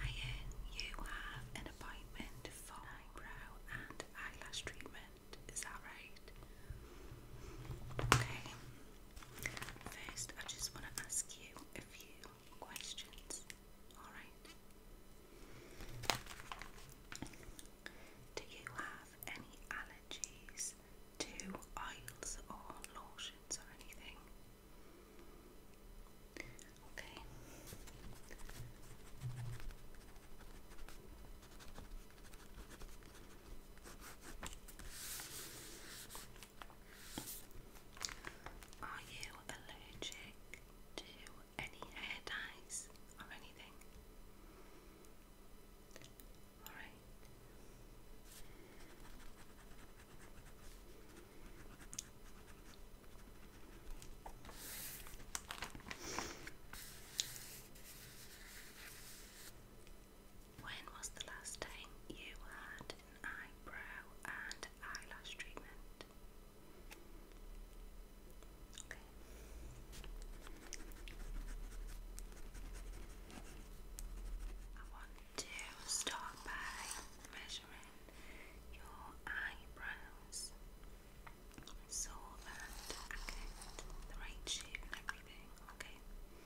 Hiya, you have an appointment for eyebrow and eyelash treatment, is that right? Okay, First, I just want to ask you a few questions, alright? Do you have any allergies to oils or lotions or anything? Okay. Are you allergic to any hair dyes or anything? Alright. When was the last time you had an eyebrow and eyelash treatment? I want to start by measuring your eyebrows so that the right shape and everything, Okay.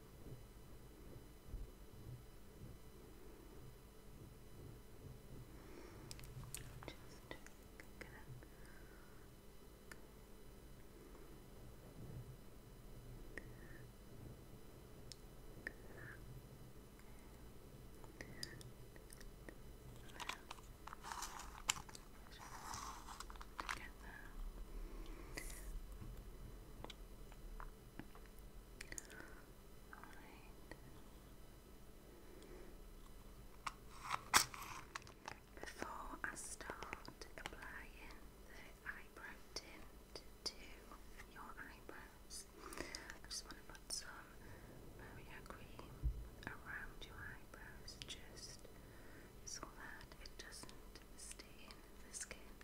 Together. Alright. Before I start applying the eyebrow tint to your eyebrows, I just want to put some Maria cream around your eyebrows just so that it doesn't stain the skin.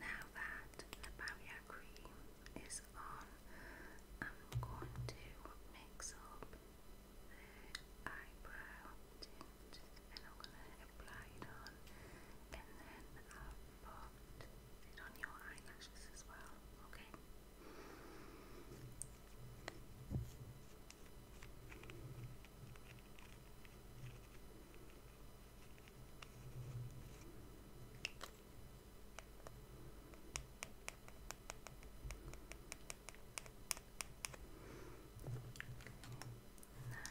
Now that the barrier cream is on, I'm going to mix up the eyebrow tint and I'm going to apply it on and then I'll but it on your eyelashes as well, okay? Now,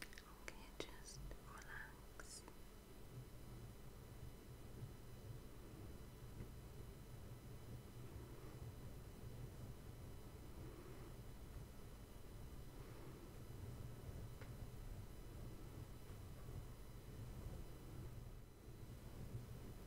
Okay, just relax.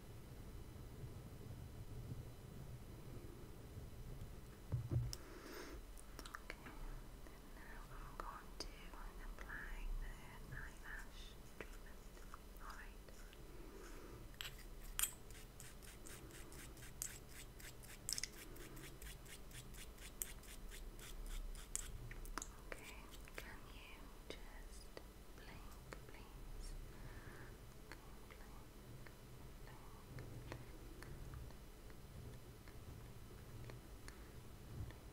Okay, now I'm going to apply the eyelash Alright. Okay, can you just blink, please. Blink, blink, blink, blink. you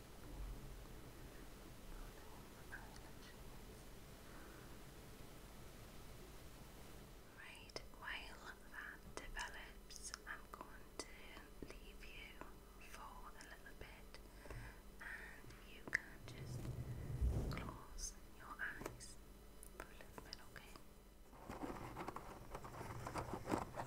Right, while that develops, I'm going to leave you for a little bit and you can just close your eyes for a little bit, okay?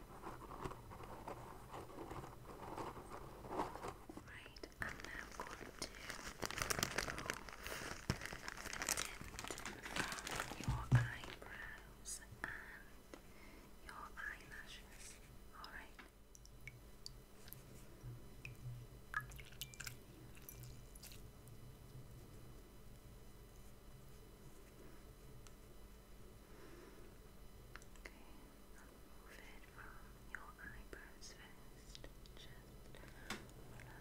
Right, I'm now going to remove your eyebrows and your eyelashes. Alright. Okay, i it from your eyebrows first. Just relax.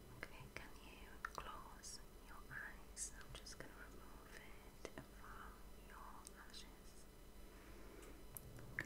Okay, can you close your eyes? I'm just going to remove it from your lashes. Okay.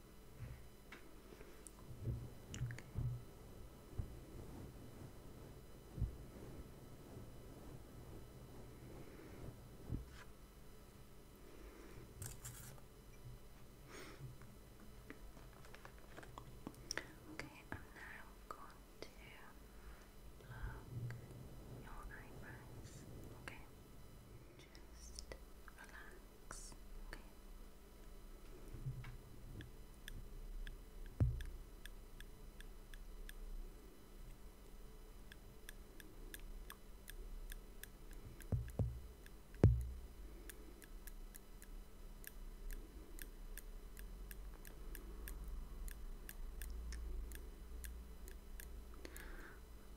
Okay, I'm now going to pluck your eyebrows. Okay. Just relax, okay?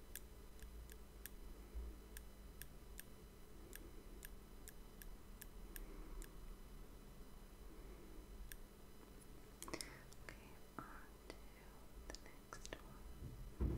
Okay, on to the next one.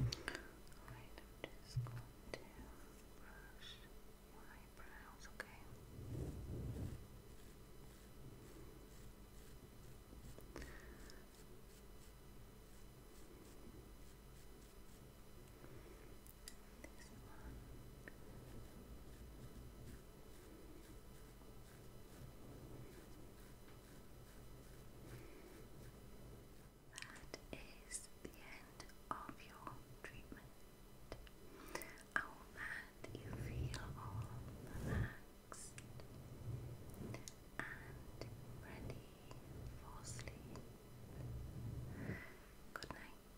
Alright, I'm just going to brush your eyebrows, okay? That is the end of your treatment. I hope that you feel relaxed and ready for sleep. Good night.